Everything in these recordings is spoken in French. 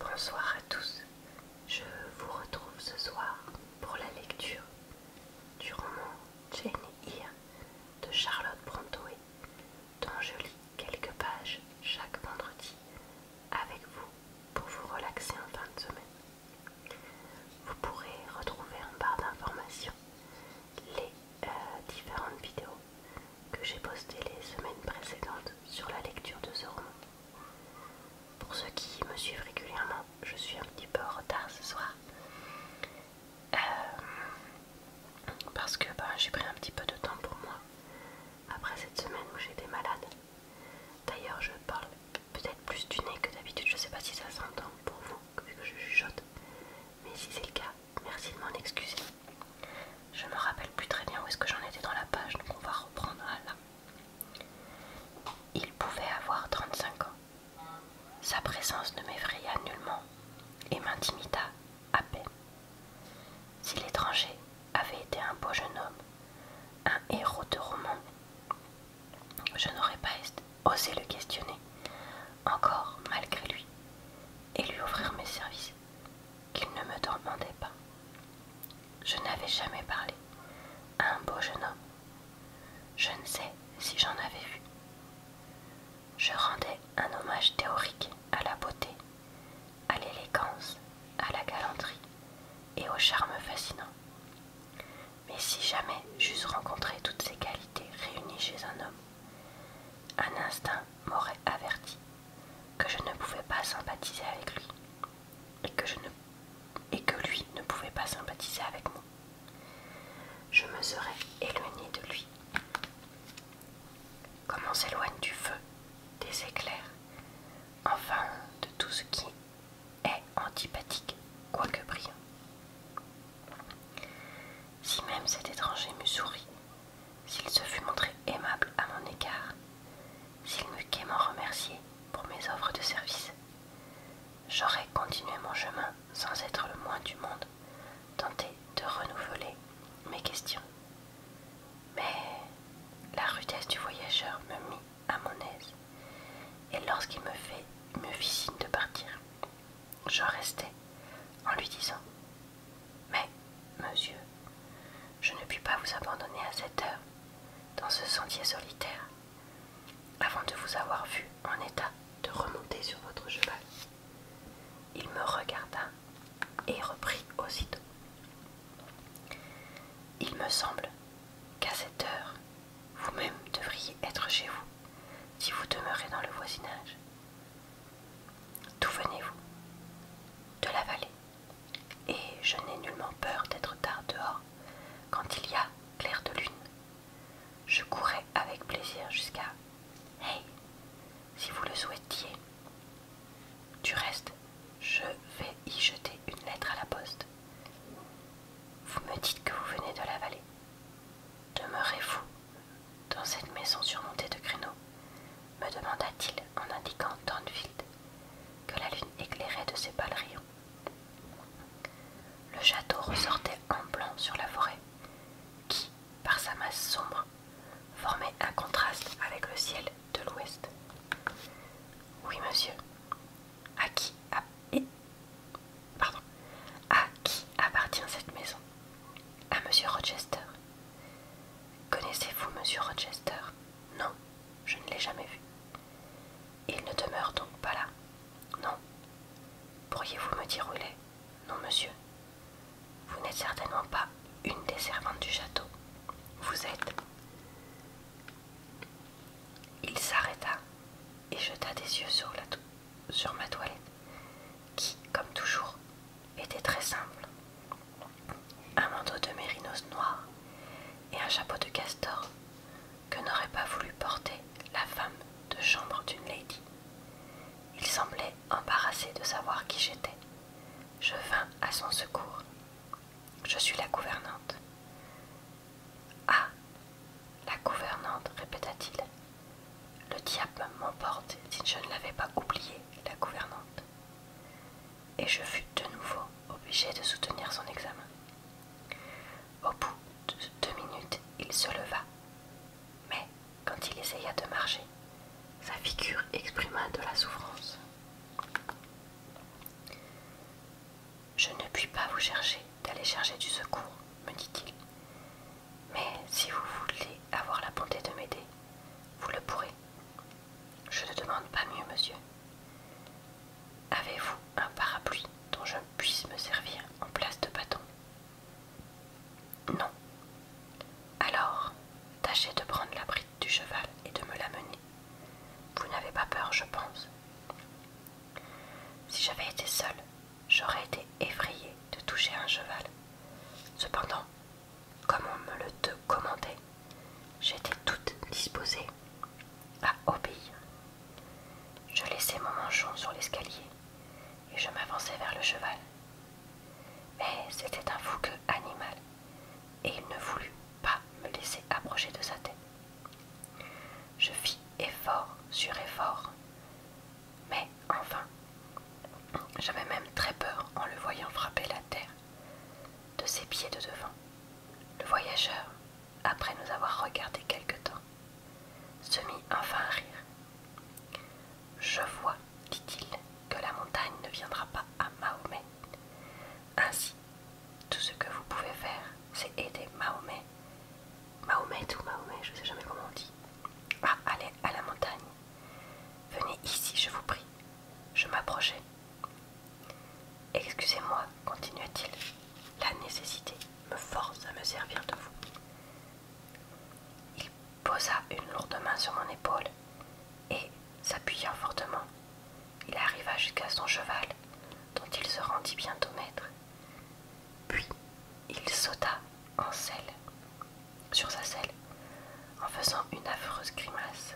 Bonsoir à tous, je vous retrouve ce soir pour la lecture du roman Jane Eyre de Charlotte Brontë, dont je lis quelques pages chaque vendredi avec vous pour vous relaxer en fin de semaine. Vous pourrez retrouver en barre d'informations les euh, différentes vidéos que j'ai postées les semaines précédentes sur la lecture de ce roman. Pour ceux qui me suivent régulièrement, je suis un petit peu en retard ce soir. Euh, parce que ben, j'ai pris un petit peu de temps pour moi après cette semaine où j'étais malade. D'ailleurs, je parle peut-être plus du nez que d'habitude. Je sais pas si ça s'entend pour vous, vu que je chuchote. Mais si c'est le cas, merci de m'en excuser. Je me rappelle plus très bien où est-ce que j'en étais dans la page, donc on va reprendre à là. Il pouvait avoir 35 ans. Sa présence ne m'effraya nullement et m'intimida à peine. Si l'étranger avait été un beau jeune homme, un héros de roman, je n'aurais pas osé le questionner, encore malgré lui, et lui offrir mes services qu'il ne me demandait pas. Je n'avais jamais parlé à un beau jeune homme. Je ne sais si j'en avais vu. Je rendais un hommage théorique à la beauté, à l'élégance, à la galanterie et au charme fascinant. Mais si jamais j'eusse rencontré toutes ces qualités réunies chez un homme, un instinct m'aurait averti que je ne pouvais pas sympathiser avec lui et que, lui ne pouvait pas sympathiser avec moi. Je me serais éloignée de lui, comme on s'éloigne du feu, des éclairs, enfin de tout ce qui est antipathique, quoique brillant. Si même cet étranger me sourit, s'il se fût montré aimable à mon égard, s'il n'eût qu'à m'en remercier pour mes offres de service, j'aurais continué mon chemin sans être le moins du monde, tenté de renouveler mes questions. Mais la rudesse du voyageur me mit à mon aise, et lorsqu'il me, fait, me fit signe de partir, je restai en lui disant mais, monsieur, je ne puis pas vous abandonner à cette heure, dans ce sentier solitaire, avant de vous avoir vu en état de remonter sur votre cheval. Il me regarda et reprit aussitôt. Il me semble qu'à cette heure, vous-même devriez être chez vous, si vous demeurez dans le voisinage. D'où venez-vous De la vallée. Et je n'ai nullement peur d'être tard dehors quand il y a clair de lune. Je courais avec plaisir jusqu'à Hey, si vous le souhaitiez. Du reste, je vais y jeter une lettre à la poste. Vous me dites que vous venez de la vallée. Demeurez-vous dans cette maison surmontée de créneaux me demanda-t-il en indiquant Thornfield, que la lune éclairait de ses pâles rayons. Le château ressortait en blanc sur la forêt, qui, par sa masse sombre, formait un contraste avec le ciel de l'ouest. Oui, monsieur. À qui, à qui appartient cette maison À monsieur Rochester, Connaissez-vous Monsieur Rochester Non, je ne l'ai jamais vu. Il ne demeure donc pas là Non. Pourriez-vous me dire où il est Non, monsieur. Vous n'êtes certainement pas une des servantes du château. Vous êtes. Il s'arrêta et jeta des yeux sur, la sur ma toilette, qui, comme toujours, était très simple. Un manteau de mérinos noir et un chapeau de castor que n'aurait pas voulu porter la femme de chambre d'une lady. Il semblait embarrassé de savoir qui j'étais. Je vins à son secours. Je suis la gouvernante. Ah La gouvernante, répéta-t-il. Le diable m'emporte si je ne l'avais pas oublié, la gouvernante et je fus de nouveau obligé de soutenir son examen. Au bout de deux minutes, il se leva, mais quand il essaya de marcher, sa figure exprima de la souffrance. Je ne puis pas vous chercher d'aller chercher du secours, me dit-il. Mais si vous voulez avoir la bonté de m'aider, vous le pourrez. Je ne demande pas mieux, monsieur. Avez-vous un parapluie dont je puisse me servir en place de bâton Non. Alors, tâchez de prendre la bride du cheval et de me l'amener. Vous n'avez pas peur, je pense. Si j'avais été seule, j'aurais été effrayée de toucher un cheval. Cependant, comme on me le te commandait, j'étais toute disposée à obéir. Je laissai mon manchon sur l'escalier et je m'avançai vers le cheval. Mais c'était un fougueux animal et il ne voulut pas me laisser approcher de sa tête. Je fis effort sur effort, mais enfin, j'avais même très peur en le voyant frapper la terre de ses pieds de devant. Le voyageur, après nous avoir regardé quelque temps, se mit enfin à rire. Je vois, dit-il, que la montagne ne viendra pas à Mahomet. Ainsi, tout ce que vous pouvez faire, c'est aider Mahomet. Mahomet ou Mahomet, je ne sais jamais comment on dit. À aller à la montagne Venez ici, je vous prie. Je m'approchai. Excusez-moi, continua-t-il. La nécessité me force à me servir de vous. Il posa une lourde main sur mon épaule et, s'appuyant fortement, il arriva jusqu'à son cheval, dont il se rendit bientôt maître. Puis il sauta en selle, sur sa selle, en faisant une affreuse grimace,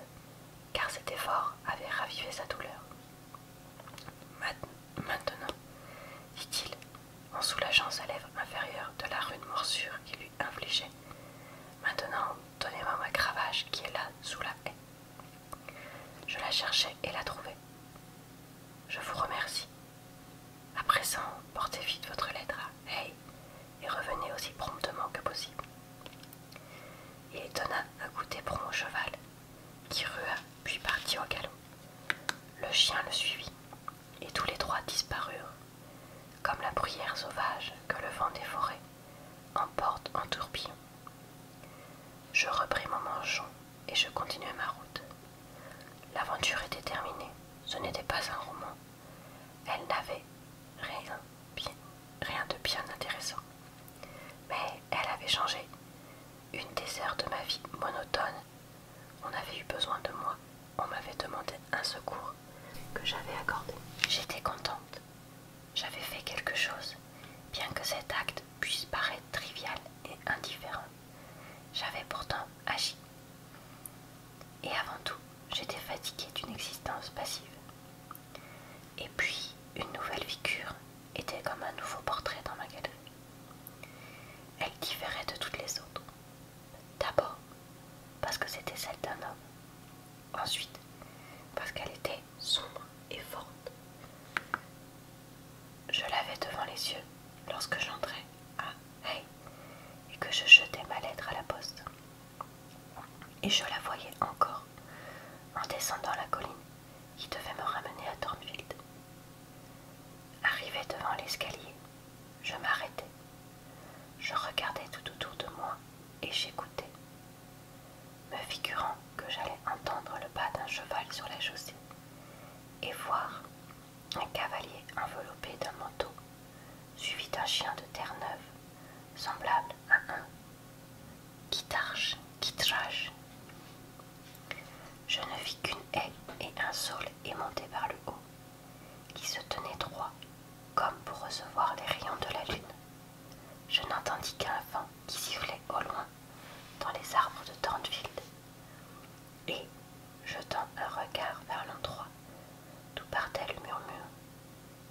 car cet effort avait ravivé sa douleur. Maintenant, dit-il, en soulageant sa lèvre inférieure de la rude morsure qui lui infligeait, maintenant donnez-moi ma cravache qui est là sous la haie. Je la cherchais et la trouvai. Je vous remercie, à présent, portez vite votre lettre à Hey, et revenez aussi promptement que possible. Il étonna un goûter pour mon cheval, qui rua puis partit au galop. Le chien le suivit, et tous les trois disparurent, comme la bruyère sauvage que le vent des forêts emporte en tourbillon. Je repris mon manchon et je continuai ma route. L'aventure était terminée, ce n'était pas un roman, elle n'avait rien, rien de bien intéressant. Mais elle avait changé. Une des heures de ma vie monotone. On avait eu besoin de moi. On m'avait demandé un secours que j'avais accordé. J'étais contente. J'avais fait quelque chose, bien que cet acte puisse paraître trivial et indifférent. J'avais pourtant agi. Et avant tout, j'étais fatiguée d'une existence passive. Et puis, une nouvelle figure était comme un nouveau portrait dans ma galerie. Elle différait de toutes les autres. D'abord, parce que c'était celle d'un homme. Ensuite, parce qu'elle était sombre et forte. Je l'avais devant les yeux lorsque j'entrais à et que je jetais ma lettre à la poste. Et je la voyais encore, en descendant la colline qui devait me ramener à Thornfield. Arrivé devant l'escalier, je m'arrêtais. Je regardais tout autour de moi et j'écoutais, me figurant que j'allais entendre le pas d'un cheval sur la chaussée et voir un cavalier enveloppé d'un manteau, suivi d'un chien de Terre-Neuve, semblable à un qui trache. Je ne vis qu'une haie et un sol monté par le haut, qui se tenait droit, comme pour recevoir les rayons de la lune. Je n'entendis qu'un vent qui sifflait au loin dans les arbres de Thornfield et, jetant un regard vers l'endroit d'où partait le murmure,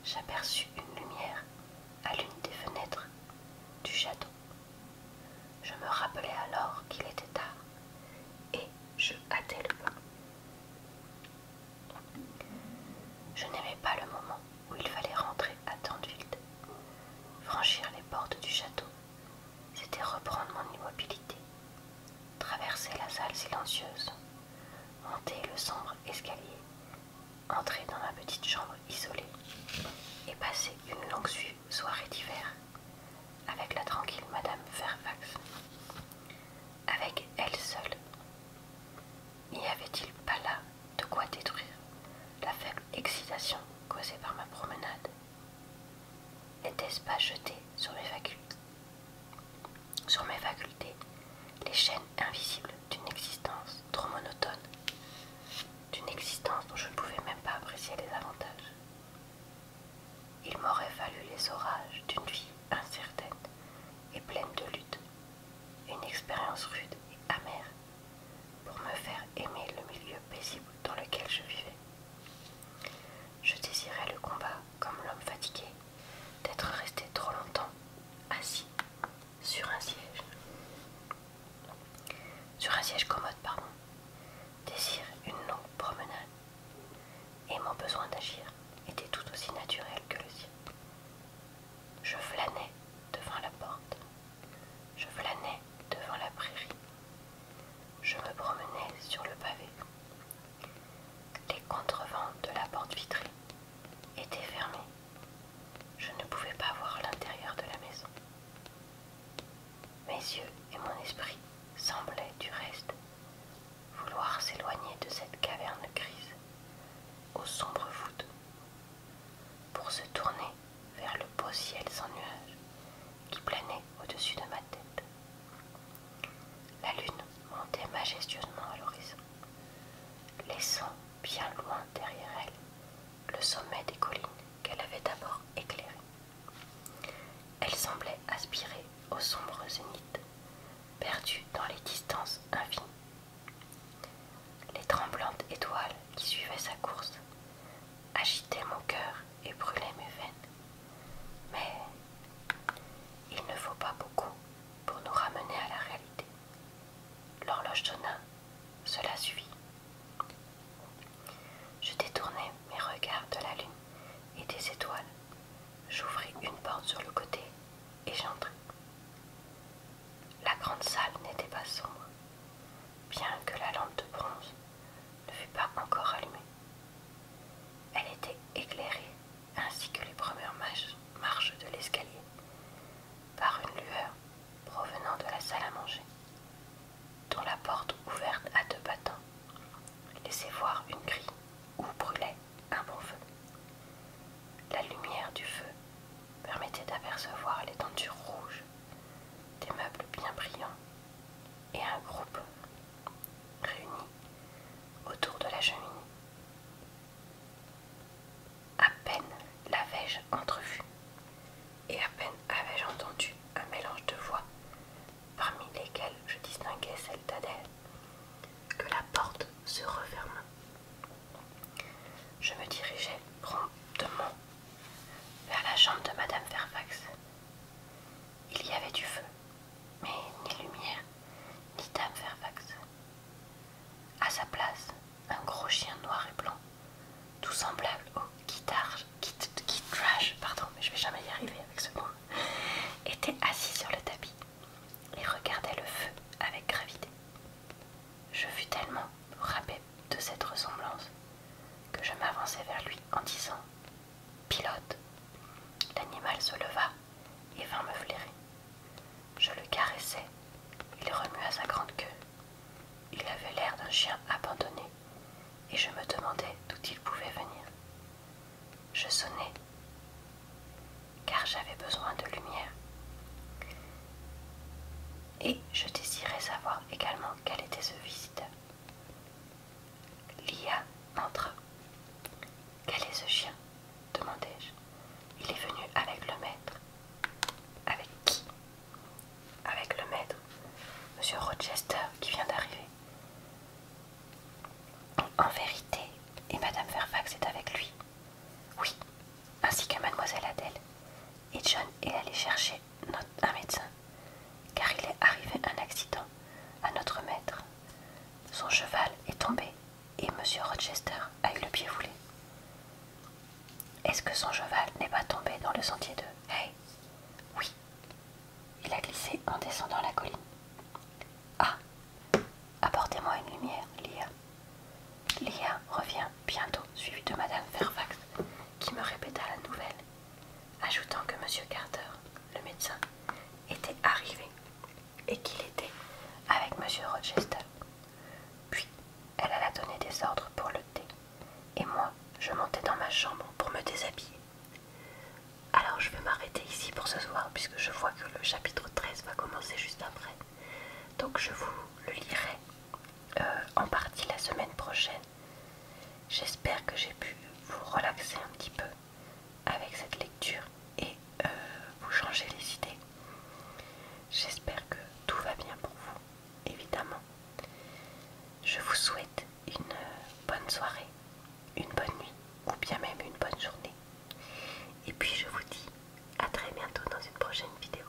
j'aperçus une lumière à l'une des fenêtres du château. Je me rappelai alors qu'il était tard, et je hâtai le pas. Je n'aimais pas le moment où il fallait rentrer à Tandwild, franchir les portes du château c'était reprendre mon immobilité, traverser la salle silencieuse, monter le sombre escalier, entrer dans ma petite chambre isolée et passer une longue soirée d'hiver avec la tranquille Madame Fairfax. Avec elle seule, n'y avait-il pas là de quoi détruire la faible excitation causée par ma promenade N'était-ce pas jeté sur mes facultés Sur mes facultés, les chaînes invisibles d'une existence trop monotone, d'une existence dont je ne pouvais même pas apprécier les avantages. Il m'aurait fallu les orages d'une vie incertaine et pleine de luttes, une expérience rude et amère pour me faire aimer le milieu paisible dans lequel je vivais. Je désirais le combat comme l'homme fatigué, d'être resté trop longtemps assis sur un siège. Sur un siège commode, pardon. Désire une longue promenade. Et mon besoin d'agir était tout aussi naturel que le sien. Je flânais devant la porte. Je flânais devant la prairie je me promenais sur le pavé. Les contrevents de la porte vitrée étaient fermés. Je ne pouvais pas voir l'intérieur de la maison. Mes yeux et mon esprit semblaient du reste vouloir s'éloigner de cette caverne grise aux sombres voûtes pour se tourner vers le beau ciel sans nuages qui planait au-dessus de ma tête. La lune montait majestueusement à l'horizon, laissant bien loin derrière elle le sommet des collines qu'elle avait d'abord éclairées. Elle semblait aspirer aux sombre zénith, perdues dans les distances infinies. Les tremblantes étoiles qui suivaient sa course agitait mon cœur et brûlait mes veines. Mais il ne faut pas beaucoup pour nous ramener à la réalité. L'horloge sonna, cela suffit. Je détournai mes regards de la lune et des étoiles. J'ouvris une porte sur le côté et j'entrai. La grande salle n'était pas sombre, bien que la lampe de bronze ne fut pas encore allumée. Elle était éclairée, ainsi que les premières marches de l'escalier, par une lueur provenant de la salle à manger, dont la porte ouverte à deux battants laissait voir une grille où brûlait un bon feu. La lumière du feu permettait d'apercevoir les tentures rouges des meubles bien brillants et un groupe réuni autour de la cheminée. À peine l'avais-je entrevue, et à peine avais-je entendu un mélange de voix parmi lesquelles je distinguais celle d'Adèle que la porte se referma. Je me dirigeais promptement vers la chambre de Madame Fairfax il y avait du feu, mais ni lumière, ni Dame Fairfax. À sa place, un gros chien noir et blanc, tout semblable au guitarge, pardon, mais je vais jamais y arriver avec ce mot, était assis sur le tapis et regardait le feu avec gravité. Je fus tellement de cette ressemblance que je m'avançai vers lui en disant Pilote L'animal se leva et vint me flairer. Je le caressai, il remua sa grande queue. Il avait l'air d'un chien abandonné et je me demandais d'où il pouvait venir. Je sonnai, car j'avais besoin de lumière. Et je désirais savoir également quel était ce visiteur. Lia entra. Quel est ce chien demandai-je. Il est venu avec le maître. Avec qui Avec le maître, Monsieur Rochester, qui vient d'arriver. En vérité, et Madame Fairfax est avec lui. Oui, ainsi que Mademoiselle Adèle et John est allé chercher un médecin, car il est arrivé un accident à notre maître. Son cheval est tombé et Monsieur Rochester a eu le pied foulé. Est-ce que son cheval n'est pas tombé dans le sentier de Hey! Oui. Il a glissé en descendant la colline. Ah Apportez-moi une lumière, Lia. Lia revient bientôt, suivie de Madame Fairfax, qui me répéta la nouvelle ajoutant que M. Carter, le médecin, était arrivé et qu'il était avec M. Rochester. Puis elle alla donner des ordres pour le thé, et moi je montais dans ma chambre pour me déshabiller. Alors je vais m'arrêter ici pour ce soir, puisque je vois que le chapitre 13 va commencer juste après. Donc je vous le lirai euh, en partie la semaine prochaine. J'espère que j'ai pu vous relaxer un petit peu avec cette lecture et euh, vous changer les idées. J'espère que tout va bien pour vous, évidemment. Je vous souhaite une euh, bonne soirée, une bonne nuit ou bien même une bonne journée. Et puis je vous dis à très bientôt dans une prochaine vidéo.